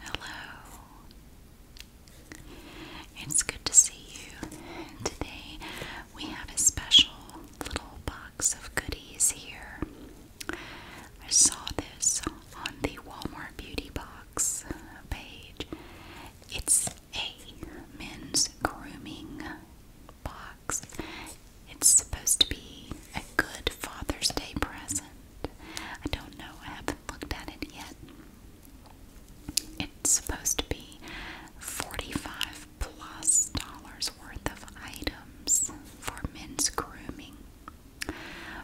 Hello. It's good to see you. Today we have a special little box of goodies here. I saw this on the Walmart Beauty Box page. It's a men's grooming box. It's supposed to be a good Father's Day present. I don't know, I haven't looked at it yet. It's supposed to be 45 plus dollars worth of items for men's grooming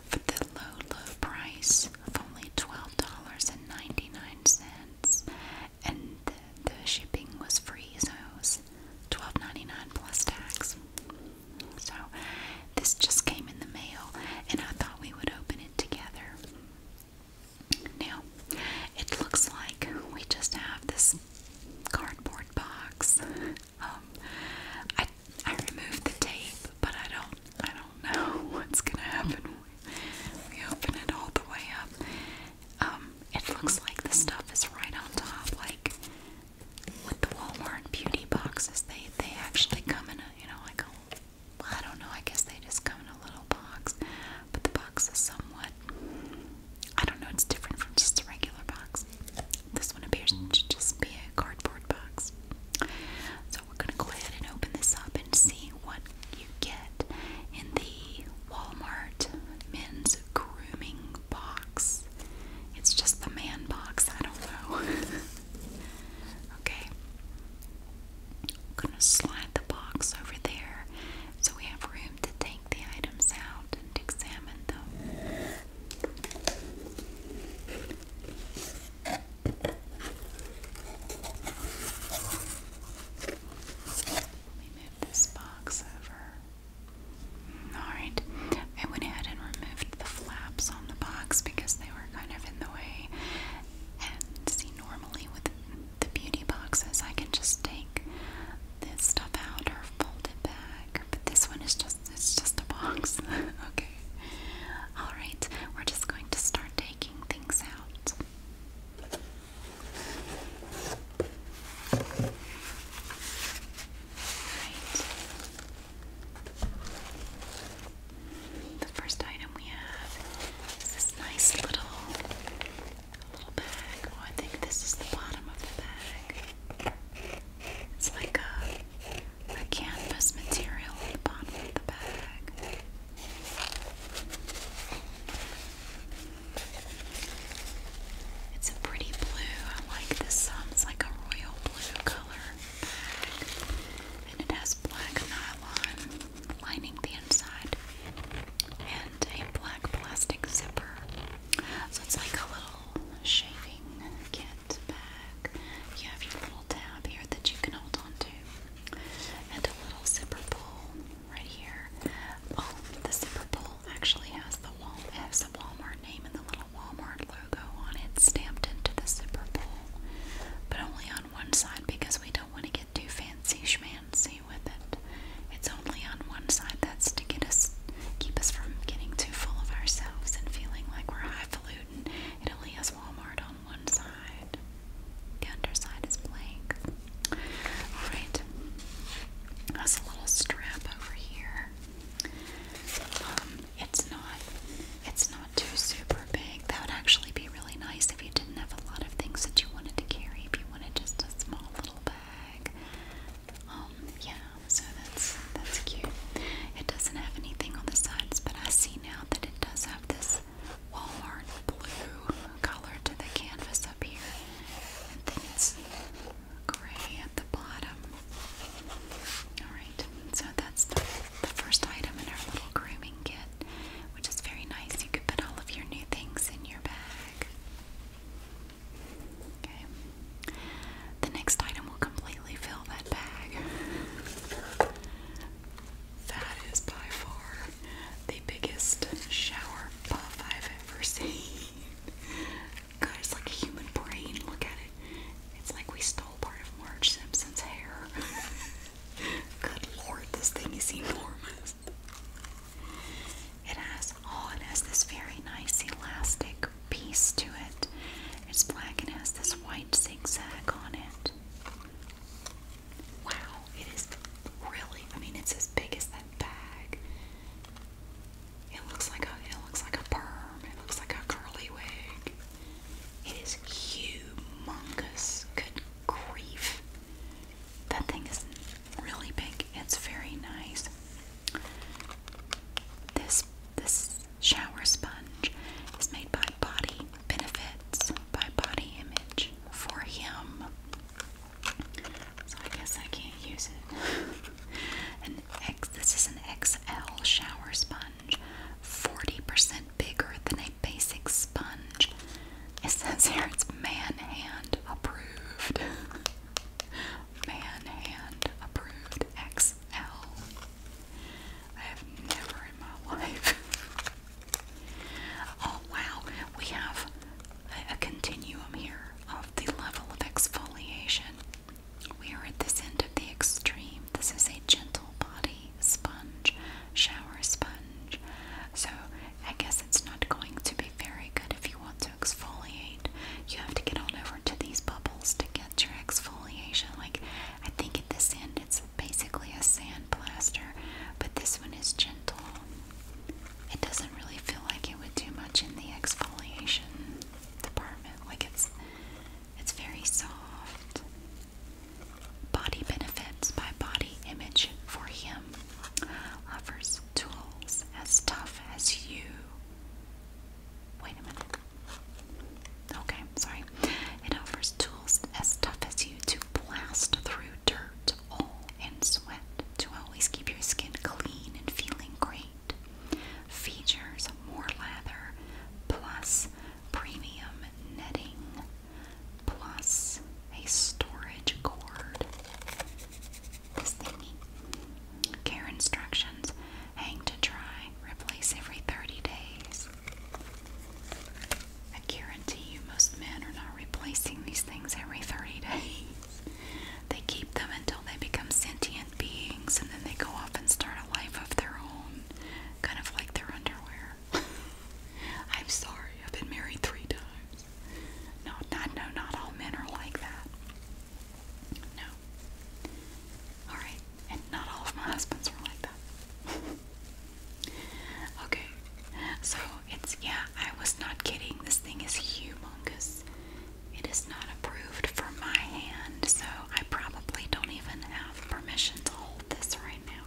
for the low, low price of only $12.99 and the, shipping was free, so it was $12.99 plus tax. So this just came in the mail, and I thought we would open it together. Now, it looks like we just have this cardboard box. Um, I I removed the tape, but I don't I don't know what's gonna happen. We open it all the way up. Um, it looks like the stuff is right on top, like with the Walmart beauty boxes. They they actually come in a you know like a I don't know. I guess they just come in a little box, but the box is somewhat I don't know. It's different from just a regular box. This one appears to just be a cardboard box. So we're gonna go ahead and open this up and see what you get in the Walmart men's grooming box. It's just the man box, I don't know. okay. I'm gonna slide the box over there so we have room to take the items out and examine them. Let me this box over. Alright, I went ahead and removed the flaps on the box because they were kind of in the way. And see, normally with the beauty boxes, I can just take this stuff out or fold it back. But this one is just it's just a box. okay. Alright, we're just going to start taking things out. Right. The first item we have is this nice little little bag. Oh, I think this is the bottom of the bag. It's like a, a canvas material on the bottom of the bag. It's a pretty blue. I like this. Um, it's like a royal blue color bag, and it has black nylon lining the inside and a black plastic zipper. So it's like a little shaving kit bag. You have your little tab here that you can hold on to, and a little zipper pull right here. Oh, the zipper pull actually has the wall has the Walmart name and the little Walmart logo on it stamped into the zipper pull, but only on one side because we don't want to get too fancy schmancy with it. It's only on one side. That's to get us keep us from getting too full of ourselves and feeling like we're highfalutin. It only has Walmart on one side. The underside is blank. Alright. There's a little strap over here. Um, it's not it's not too super big. That would actually be really nice if you didn't have a lot of things that you wanted to carry. If you wanted just a small little bag. Um, yeah, so that's that's cute. It doesn't have anything on the sides, but I see now that it does have this Walmart blue color to the canvas up here, and then it's gray at the bottom. Alright, so that's the first item in our little grooming kit, which is very nice. You could put all of your new things in your bag. Okay. The next item will completely fill that bag. That is by far the biggest shower puff I've ever seen. Guys, like a human brain. Look at it. It's like we stole part of Marge Simpson's hair. Good lord, this thing is enormous. It has, oh, it has this very nice elastic piece to it. It's black and has this white zigzag on it. Wow, it is really I mean it's as big as that bag. It looks like a it looks like a perm. It looks like a curly wig. It is humongous. Good grief. That thing is really big. It's very nice. This this shower sponge is made by Body Benefits by Body Image for him. So I guess I can't use it. this is an XL shower sponge. 40% bigger than a basic sponge. It says here it's man hand approved. man hand approved XL. I have never in my life Oh wow, we have a, continuum here of the level of exfoliation. We are at this end of the extreme. This is a gentle body sponge, shower sponge. So I guess it's not going to be very good if you want to exfoliate. You have to get on over to these bubbles to get your exfoliation. Like I think at this end it's basically a sand plaster, but this one is gentle. It doesn't really feel like it would do much in the exfoliation department. Like it's it's very soft. Body Benefits by Body Image for Him offers tools as tough as you. Wait a minute. Okay, sorry. It offers tools as tough as you to blast through dirt sweat, and sweat to always keep your skin clean and feeling great. Features more lather plus premium netting plus a storage cord. This thingy. Care instructions hang to dry, replace every 30 days. I guarantee you most men are not replacing these things every 30 days. They keep them until they become sentient beings and then they go off and start a life of their own, kind of like their underwear. I'm sorry, I've been married three times. No, not, no, not all men are like that. No. Alright, and not all of my husbands were like that. Okay, so it's yeah, I was not kidding. This thing is humongous. It is not approved for my hand, so I probably don't even have permission to hold this right now.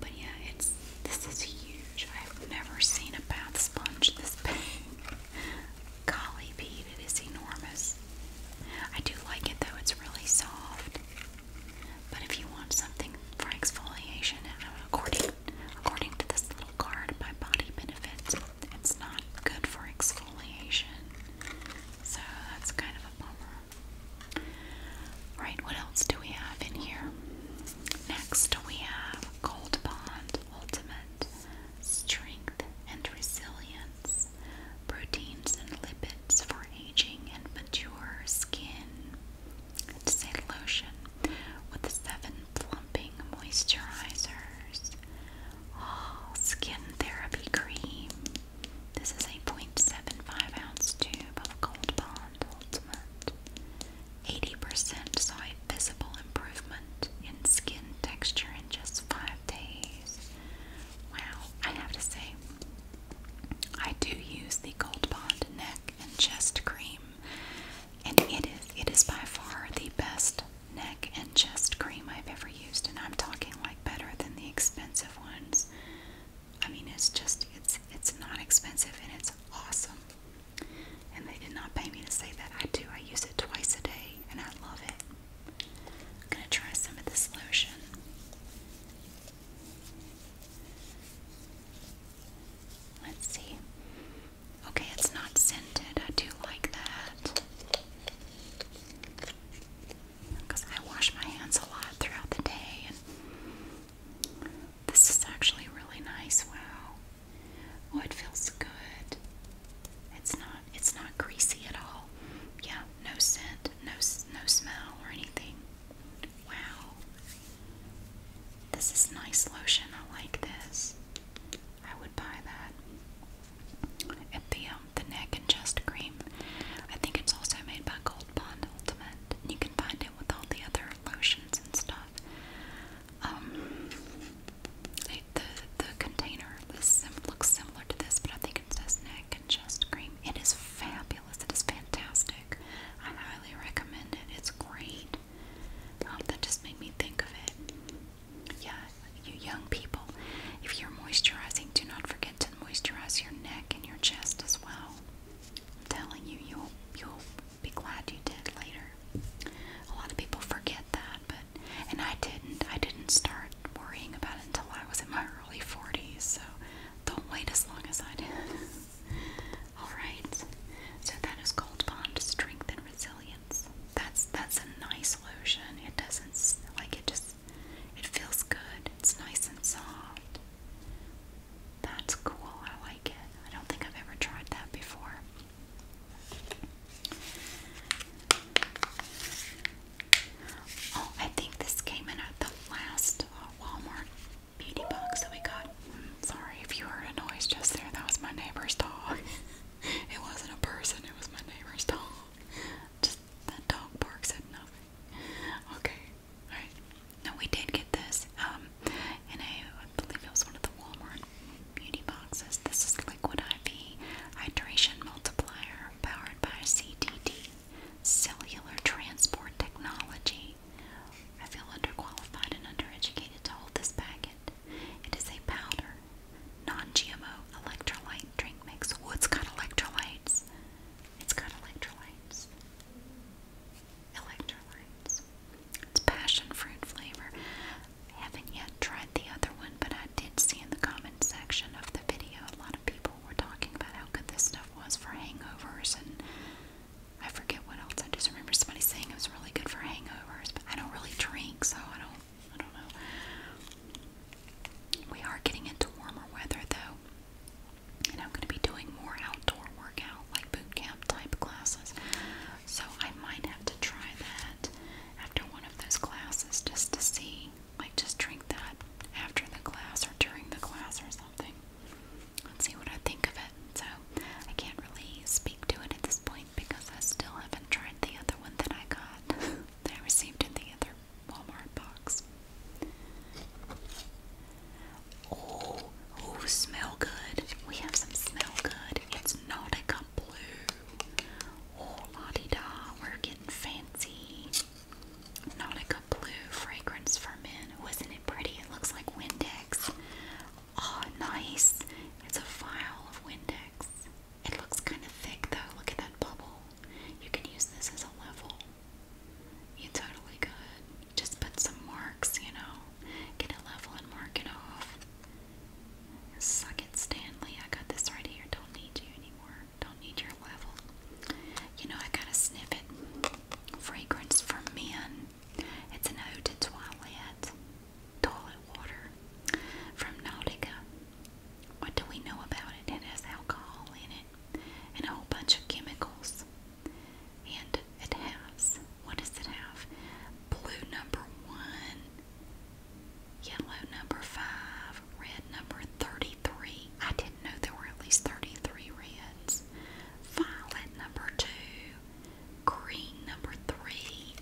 But yeah, it's this is huge. I've never seen a bath sponge this big. Golly Pete, it is enormous. I do like it though, it's really soft. But if you want something for exfoliation, according according to this little card by Body Benefits, it's not good for exfoliation. So that's kind of a bummer. Right, what else do we have in here? Next we have Gold Bond Ultimate Strength and Resilience. Proteins and lipids for aging and mature skin. It's with seven plumping moisturizers. Oh, skin therapy cream. This is a point seven five ounce tube of Gold Bond Ultimate. 80% saw a visible improvement in skin texture in just five days. Wow, I have to say, I do use the Gold Bond neck and chest cream, and it is it is by far the best neck and chest cream I've ever used, and I'm talking like better than the expensive ones. I mean, it's just it's it's not expensive and it's awesome. And they did not pay me to say that. I do. I use it twice a day, and I love it. I'm gonna try some of this lotion. Let's see. Okay, it's not scented. I do like that. Because I wash my hands a lot throughout the day. And this is actually really nice. Wow. Oh, it feels good. It's not it's not greasy at all. Yeah, no scent, no no smell or anything. Wow. This is nice lotion. I like this. I would buy that. And the um, the neck and chest cream. I think it's also made by Gold Bond Ultimate. You can find it with all the other lotions and stuff. Um, the the container looks similar to this, but I think it says neck and chest cream. It is fabulous. It is fantastic. I highly recommend it. It's great. Um, that just made me think of it. Yeah, you young people, if you're moisturizing, do not forget to moisturize your neck and your chest as well. I'm telling you, you'll you'll be glad you did later. A lot of people forget that, but and I didn't. I didn't start worrying about it until I was in my early 40s. So don't wait as long as I did. Alright, so that is Gold Bond Strength and Resilience. That's that's a nice lotion. It doesn't like it just it feels good. It's nice and soft. That's cool. I like it. I don't think I've ever tried that before. Oh, I think this came in at the last uh, Walmart beauty box that we got. sorry if you heard a noise just there. That was my neighbor's dog. it wasn't a person. It was my neighbor's dog. Just that dog bark said nothing. Okay. Alright. No, we did get this. Um, in a, I believe it was one of the Walmart beauty boxes. This is Liquid IV Hydration Multiplier powered by CDD Cellular Transport Technology today. I feel underqualified and undereducated to hold this packet. It is a powder, non GMO electrolyte drink mix. Oh, it's got electrolytes. It's got electrolytes. Electrolytes. It's passion fruit flavor. I haven't yet tried the other one, but I did see in the comment section of the video a lot of people were talking about how good this stuff was for hangovers and I forget what else. I just remember somebody saying it was really good for hangovers, but I don't really drink, so I don't. I don't know. We are getting into warmer weather though, and I'm going to be doing more outdoor workout, like boot camp type classes. So I might have to try that after one of those classes, just to see, like, just drink that after the class or during the class or something. Let's see what I think of it. So I can't really speak to it at this point because I still haven't tried the other one that I got that I received in the other Walmart box. Oh, oh, smell good. We have some smell good. It's Nautica Blue. Oh, la di da, we're getting fancy. Nautica blue fragrance for men. Wasn't it pretty? It looks like Windex. Oh, nice. It's a file of Windex. It looks kind of thick though. Look at that bubble. You can use this as a level. You totally could. Just put some marks, you know. Get a level and mark it off. Suck it, Stanley. I got this right here. Don't need you anymore. Don't need your level. You know, I got to sniff it. Fragrance for Men. It's an ode to toilet. Toilet water from Nautica. What do we know about it? It has alcohol in it and a whole bunch of chemicals. And it has, what does it have? Blue number one, yellow number five, red number 33. I didn't know there were at least 33 reds violet number two, green number three.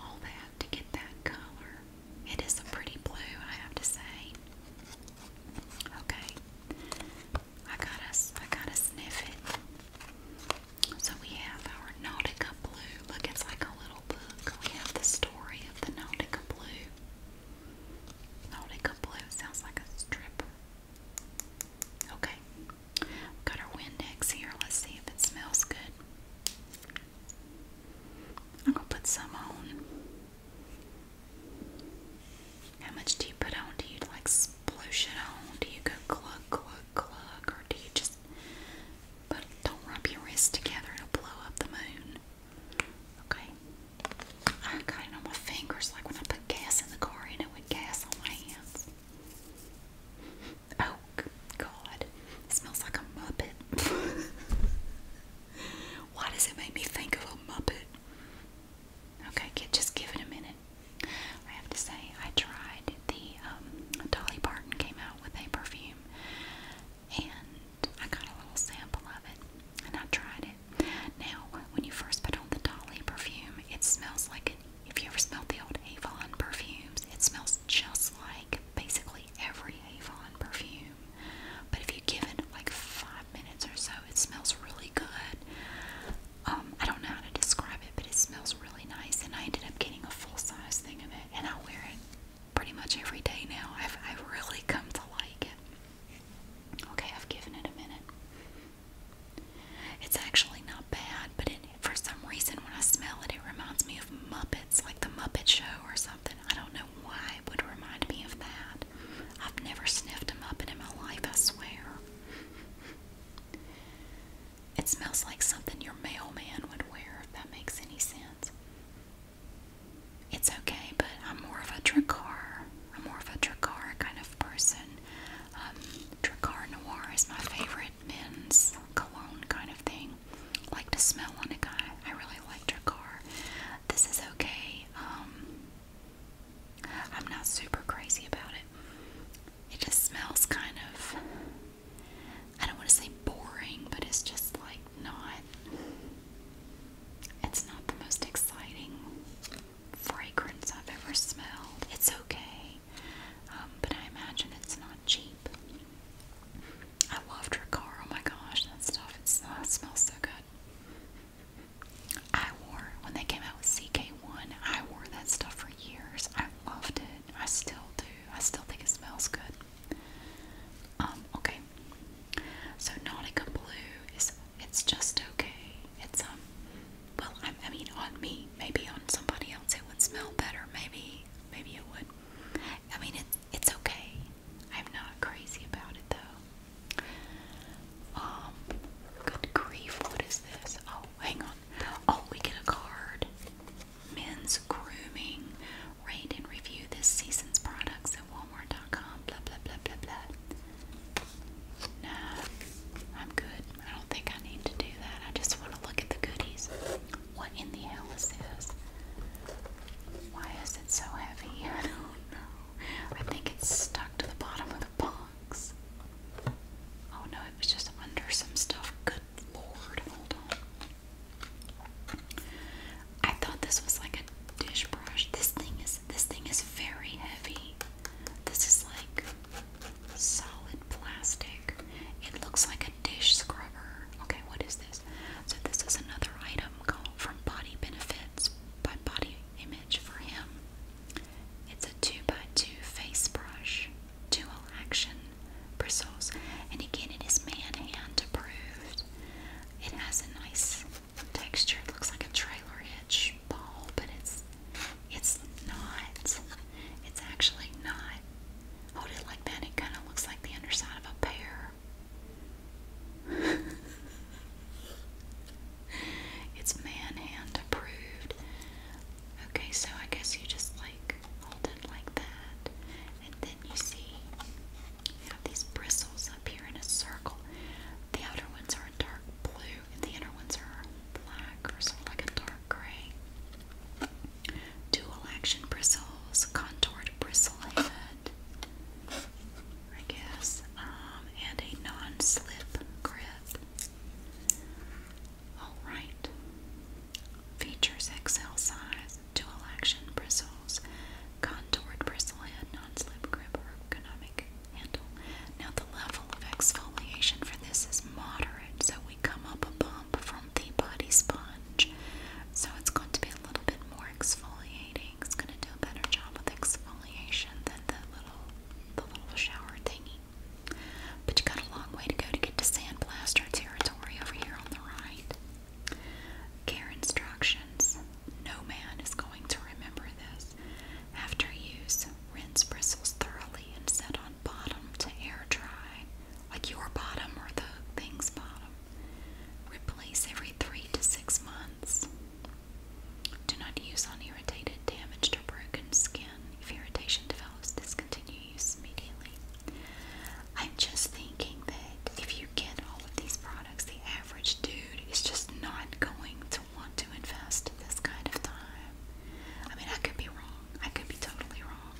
All that to get that color. It is a pretty blue, I have to say. Okay. I gotta I gotta sniff it. So we have our Nautica Blue. Look, it's like a little book. We have the story of the Nautica Blue. Nautica Blue sounds like a stripper. Okay. got our Windex here. Let's see if it smells good. I'm going to put some on. How much do you put on? Do you like sploosh it on? Do you go glug, glug, glug? Or do you just but don't rub your wrists together? it blow up the moon. Okay. I got it on my fingers like when I put gas in the car and it would gas on my hands. Oh God, it smells like a muppet. Why does it make me think of a muppet? Okay, get, just give it a minute. I have to say, I tried the um, Dolly Parton came out with a perfume, and I got a little sample of it, and I tried it, now, when you first put on the Dolly perfume, it smells like an if you ever smelled the old Avon perfumes, it smells just like basically every Avon perfume. But if you give it like five minutes or so, it smells really good. Um, I don't know how to describe it, but it smells really nice. And I ended up getting a full size thing of it, and I wear it pretty much every day now. I've, I've really come to like it. Okay, I've given it a minute. It's actually not bad, but for some reason when I smell it, it reminds me of Muppets, like the Muppet Show or something. I don't know why it would remind me of that. I've never sniffed a Muppet in my life, I swear. It smells like something your mailman would wear, if that makes any sense. It's okay, but I'm more of a car. I'm more of a Drakkar kind of person. Um, Noir is my favorite men's cologne kind of thing. I like to smell on a guy. I really like Drakkar. This is okay. Um, I'm not super crazy about it. It just smells kind of. I don't want to say boring, but it's just like not. It's not the most exciting fragrance I've ever smelled. It's okay, um, but I imagine it's not cheap. I loved her car. Oh my gosh, that stuff it's, smells so good. I wore, when they came out with CK1, I wore that stuff for years. I loved it. I still do. I still think it smells good. Um, okay. So Nautica Blue is it's just okay. It's um well I, mean on me, maybe on somebody else it would smell better. Maybe maybe it would. I mean it it's okay. I'm not crazy about it though. Um good grief, what is this? Oh, hang on. Oh, we get a card. Men's grooming. Rate and review this season's products Walmart.com, blah, blah, blah, blah, blah. Nah, I'm good. I don't think I need to do that. I just want to look at the goodies. What in the hell is this? Why is it so heavy? I don't know. I think it's stuck to the bottom of the box. Oh no, it was just under some stuff. Good lord, hold on. I thought this was like a dish brush. This thing is this thing is very heavy. This is like solid plastic. It looks like a dish scrubber. Okay, what is this? So this is another item called from Body Benefits by Body Image for him. It's a 2 by 2 face brush, dual action bristles, and again it is man hand approved. It has a nice texture. looks like a trailer hitch ball, but it's it's not. It's actually not. Hold it like that. It kind of looks like the underside of a pear. it's manhand approved. Okay, so I guess you just like hold it like that, and then you see you have these bristles up here in a circle. The outer ones are dark blue, and the inner ones are black or sort of like a dark gray. Dual action bristles, contoured bristle head, I guess, um, and a non slip grip. Alright. Features XL size, dual action bristles, contoured bristle head, non slip grip, ergonomic now the level of exfoliation for this is moderate, so we come up a bump from the body sponge. So it's going to be a little bit more exfoliating. It's going to do a better job with exfoliation than the little the little shower thingy. But you got a long way to go to get to sandblaster territory over here on the right. Care instructions. No man is going to remember this. After use, rinse bristles thoroughly and set on bottom to air dry, like your bottom or the thing's bottom. Replace every three to six months. Do not use on irritated, damaged, or broken skin. If irritation develops, discontinue use immediately. I'm just thinking that if you get all of these products, the average dude is just not going to want to invest this kind of time. I mean, I could be wrong. I could be totally wrong.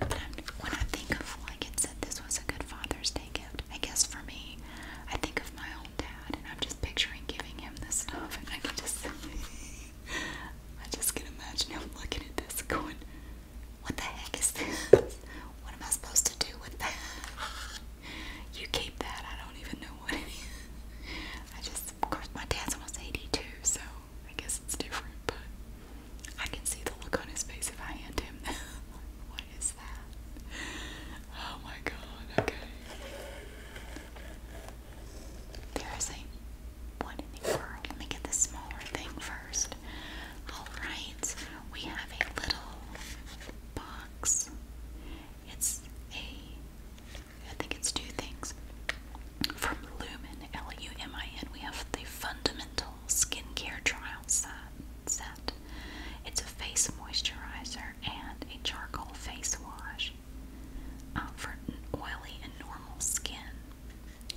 But am when I think of, like it said, this was a good Father's Day gift. I guess for me, I think of my own dad, and I'm just picturing giving him this stuff, and I can just, I just can imagine him looking at this, going, "What the heck is this? What am I supposed to do with that?" you keep that. I don't even know what it is. I just, of course, my dad's almost 82, so I guess it's different, but I can see the look on his face if I hand him what is that? Oh my god, okay. There is a, what in the world? Let me get the smaller thing first. Alright, we have a little box it's a, I think it's two things. From Lumen, L U M I N, we have the Fundamental Skincare Trial Set. It's a face moisturizer and a charcoal face wash um, for oily and normal skin.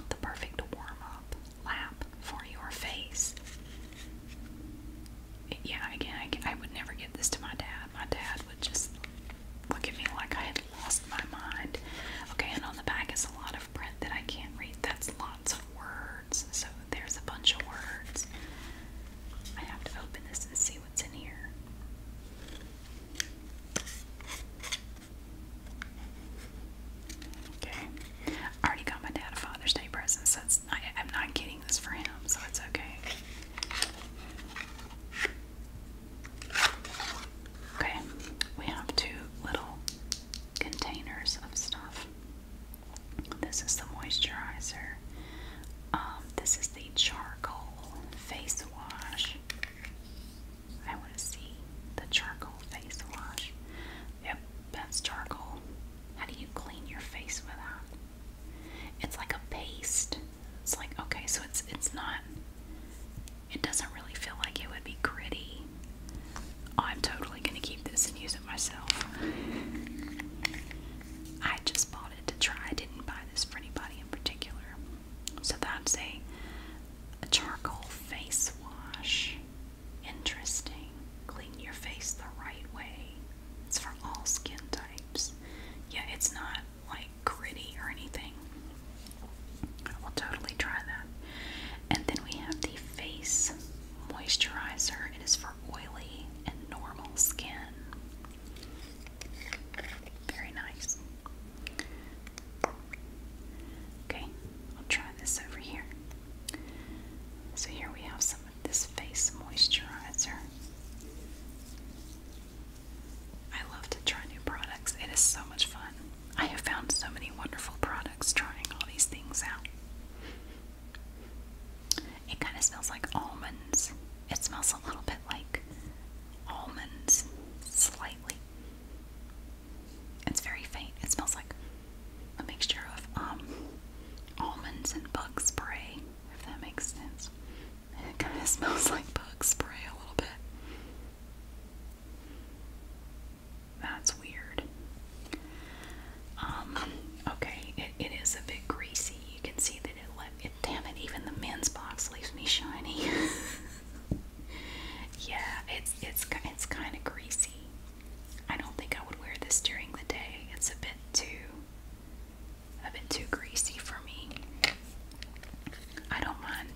The perfect warm up lap for your face yeah, again, I, I would never give this to my dad. My dad would just look at me like I had lost my mind. Okay, and on the back is a lot of print that I can't read. That's lots of words. So there's a bunch of words. I have to open this and see what's in here. Okay. I already got my dad a Father's Day present, so I, am not getting this for him, so it's okay. Okay, we have two little containers of stuff. This is the moisturizer. Um, this is the charcoal face wash. I want to see the charcoal face wash. Yep, that's charcoal. How do you clean your face with that? It's like a paste. It's like okay, so it's it's not it doesn't really feel like it would be gritty. I'm totally gonna keep this and use it myself. I just bought it to try. I didn't buy this for anybody in particular. So that's a a charcoal face wash. Interesting. Clean your face the right way. It's for all skin types. Yeah, it's not like gritty or anything. I will totally try that. And then we have the face moisturizer. It is for oily and normal skin. Very nice. Okay, I'll try this over here. So here we have some this face moisturizer. I love to try new products. It is so much fun. I have found so many wonderful products trying all these things out. It kind of smells like almonds. It smells a little bit like almonds, slightly. It's very faint. It smells like a mixture of um, almonds and bug spray, if that makes sense. it kind of smells like bug spray a little bit. That's weird. Um, okay, it is a bit greasy. You can see that it left Damn it! Even the men's box leaves me shiny. yeah, it's it's it's kind of greasy. I don't think I would wear this during the day. It's a bit too a bit too greasy for me. I don't mind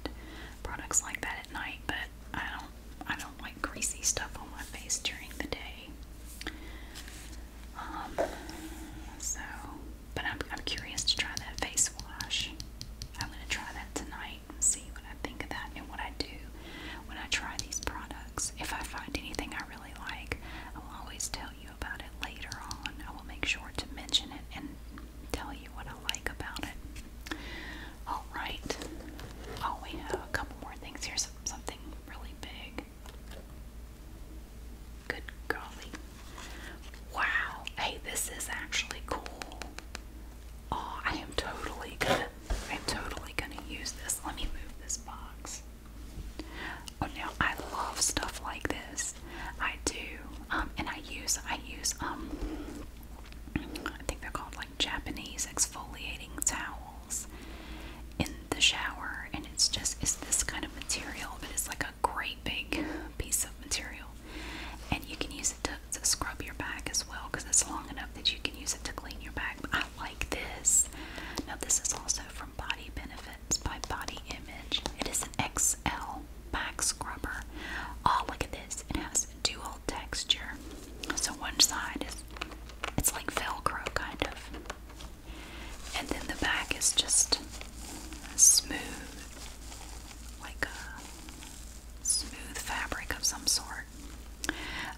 products like that at night, but I don't I don't like greasy stuff on my face during the day. Um so but I'm I'm curious to try that face wash. I'm gonna try that tonight and see what I think of that and what I do when I try these products. If I find anything I really like. I will always tell you about it later on. I will make sure to mention it and tell you what I like about it. Alright. Oh, we have a couple more things. Here's something really big. Good golly. Wow. Hey, this is actually cool. Oh, I am totally I'm totally gonna use this. Let me move this box. Oh no, I love stuff like this. I do. Um, and I use I use um I think they're called like Japanese exfoliating towels in the shower and it's just it's this kind of material, but it's like a great big piece of material. And you can use it to, to scrub your back as well because it's long enough that you can use it to clean your back. I like this. Now, this is also from Body Benefits by Body Image. It is an XL back scrubber. Oh, look at this. It has dual texture. So, one side is it's like Velcro, kind of. And then the back is just smooth, like a smooth fabric of some sort.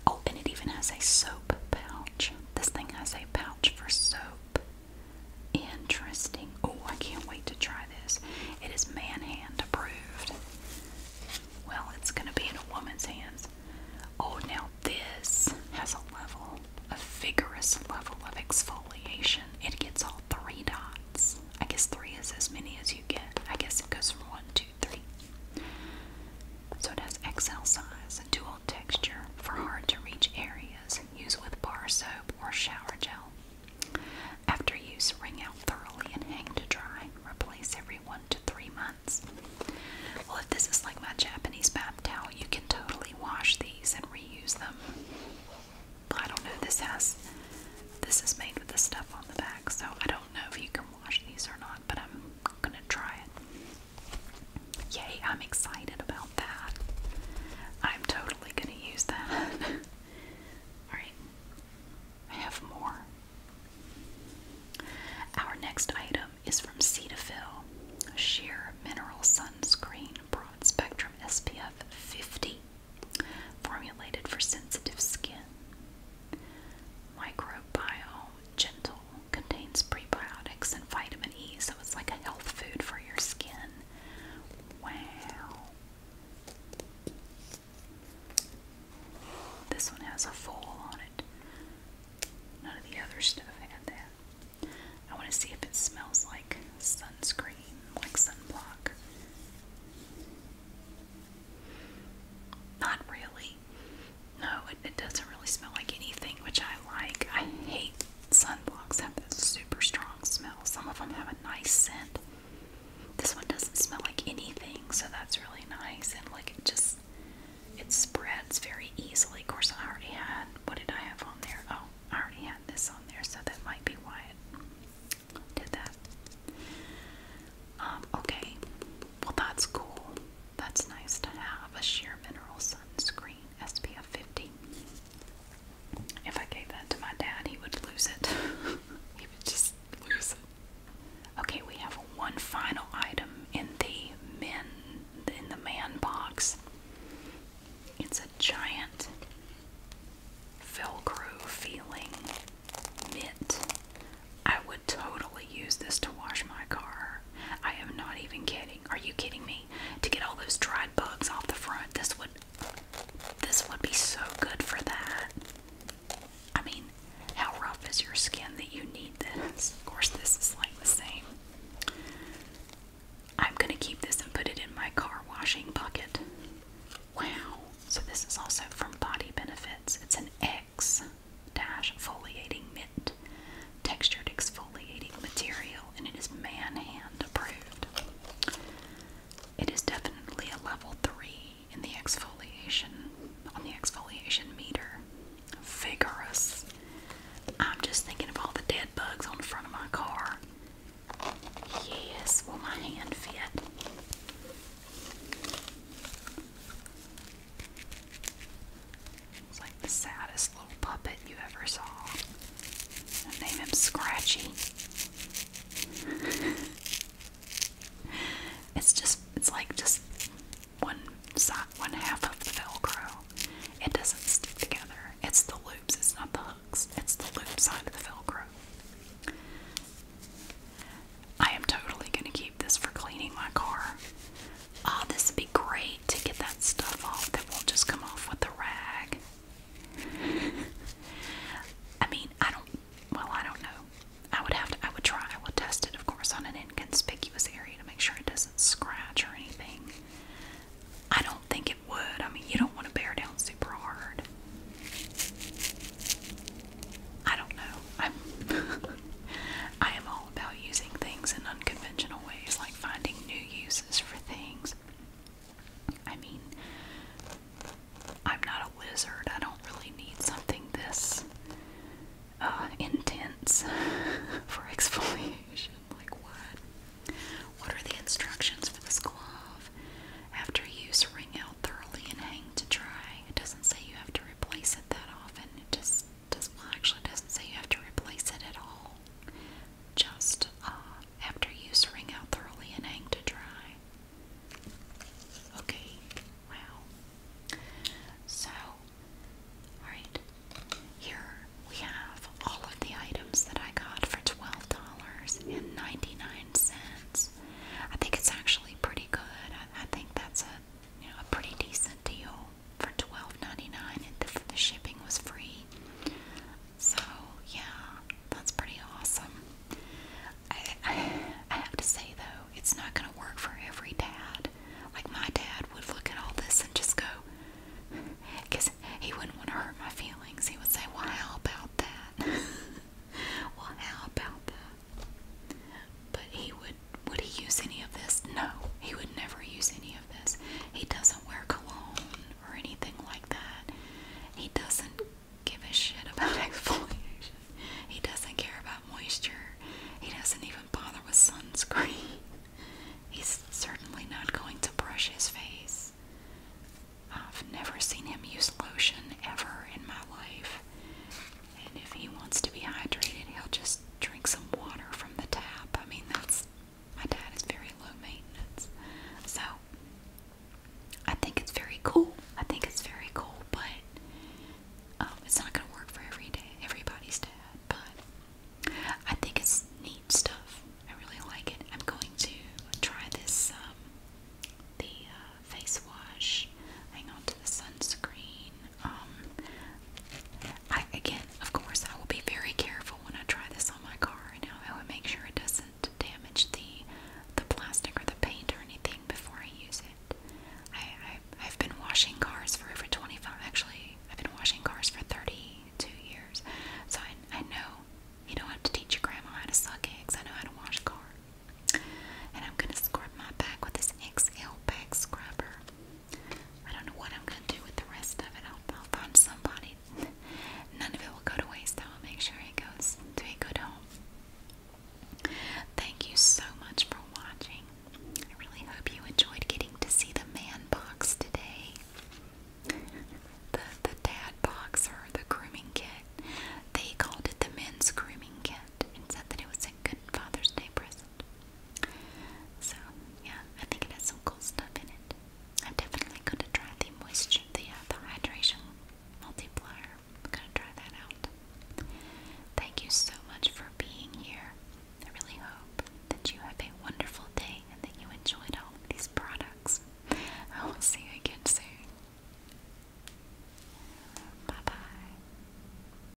Oh, and it even has a soap. Bell. This thing has a pouch for soap. Interesting. Oh, I can't wait to try this. It is man hand approved. Well, it's going to be in a woman's hands. Oh, now this has a level, a vigorous level of exfoliation. It gets all three dots. I guess three is as many as you get. I guess it goes from one, two, three. So it has XL size dual texture for hard to reach areas. Use with bar soap or shower gel. After use, wring out thoroughly and hang to dry. Replace every one to three months. Well, if this is like my Japanese bath towel, you can totally wash these and reuse them. I don't know. This has this is made with the stuff on the back, so I don't know if you can wash these or not. But I'm gonna try it. Yay, I'm excited about that. I'm totally gonna use that. Alright, I have more. Our next item is from Cetaphil Sheer Mineral Sunscreen Broad Spectrum SPF 50, formulated for sensitive skin. Microbiome gentle, contains prebiotics and vitamin E, so it's like a health food for your skin. Wow. This one has a foil on it. None of the other stuff had that. I want to see if it smells like sunscreen, like sunblock. Not really. No, it, doesn't really smell like anything, which I like. I hate sunblocks have that super strong smell. Some of them have a nice scent. This one doesn't smell like anything, so that's really nice. And like it just it spreads very easily. Of course, I already had what did I have on there? Oh, I already had this on there, so that might be why did that. Um, okay, well that's cool. That's nice to have a sheer mineral sunscreen SPF 50. If I gave that to my dad, he would lose it. he would just lose it. Okay, we have one final item in the men in the man box. It's a giant Velcro feeling mitt. I would totally use this to wash my car. I am not even kidding. Are you kidding me? To get all those dried bugs off the front, this would this would be so good for that. I mean, how rough is your skin that you need this? Of course, this is like the same. I'm going to keep this and put it in my car washing bucket. Wow. So, this is also from Body Benefits. It's an X dash foliating mitt, textured exfoliating material, and it is man hand approved. It is definitely a level three in the exfoliation on the exfoliation meter. Vigorous. I'm just thinking of all the dead bugs on the front of my car. Yes, will my hand fit? It's like the saddest little puppet you ever saw. I name him Scratchy. it's just it's like just one side one half of the Velcro. It doesn't stick together. It's the loops, it's not the hooks. It's the loop side of the Velcro. I am totally going to keep this for cleaning my car. Oh, this would be great to get that stuff off that won't just come off with the rag. I mean, I don't, well, I don't know. I would have to, I would try, I would test it, of course, on an inconspicuous area to make sure it doesn't scratch or anything. I don't think it would. I mean, you don't want to bear down super hard. I don't know. I'm I am all about using things in unconventional ways, like finding new uses for things. I mean, I'm not a lizard. I don't really need something this uh, intense for exfoliation. Like, what? What are the instructions for this glove? After use, wring out thoroughly and hang to dry. It doesn't say you have to replace it that often. It just does, well, actually doesn't say you have to replace it at all. Just uh, after use, wring out thoroughly and hang to dry. Okay, wow. So, alright, here we have all of the items that I got for $12.99. I think it's actually pretty good. I, think that's a, a pretty decent deal for 12 and the, shipping was free. So, yeah, that's pretty awesome. I, have to say, though, it's not going to work for every dad. Like, my dad would look at all this and just go, because he wouldn't want to hurt my feelings. He would say, Well, how about that? well, how about that? But he would would he use any of this? No, he would never use any of this. He doesn't wear cologne or anything like that. He doesn't give a shit about exfoliation. He doesn't care about moisture. He doesn't even bother with sunscreen. He's certainly not going to brush his face. I've never seen him use lotion ever in my life. And if he wants to be hydrated, he'll just drink some water from the tap. I mean, that's my dad is very low maintenance. So I think it's very cool. I think it's very cool, but um, it's not going to work for every day, everybody's dad. But I think it's neat stuff. I really like it. I'm going to try this um, the uh, face wash. Hang on, the sunscreen. Um, I again, of course, I will be very careful when I try this on my car, and I will make sure it doesn't damage the the plastic or the paint or anything before I use it. I, have been washing cars for over 25. Actually, I've been washing cars for 32 years, so I I know you don't have to teach your grandma how to suck eggs. I know how to wash a car. And I'm gonna scrub my back with this XL back scrubber. I don't know what I'm gonna do with the rest of it. I'll, find somebody. None of it will go to waste. I'll make sure it goes to a good home. Thank you so much for watching. I really hope you enjoyed getting to see the man box today. The, the dad box or the grooming kit. They called it the men's grooming kit and said that it was a good Father's Day present. So, yeah, I think it has some cool stuff in it. I'm definitely going to try the moisture, the, uh, the hydration multiplier. I'm going to try that out. Thank you so much for being here. I really hope that you have a wonderful day and that you enjoyed all of these products. I will see you again soon. Bye bye.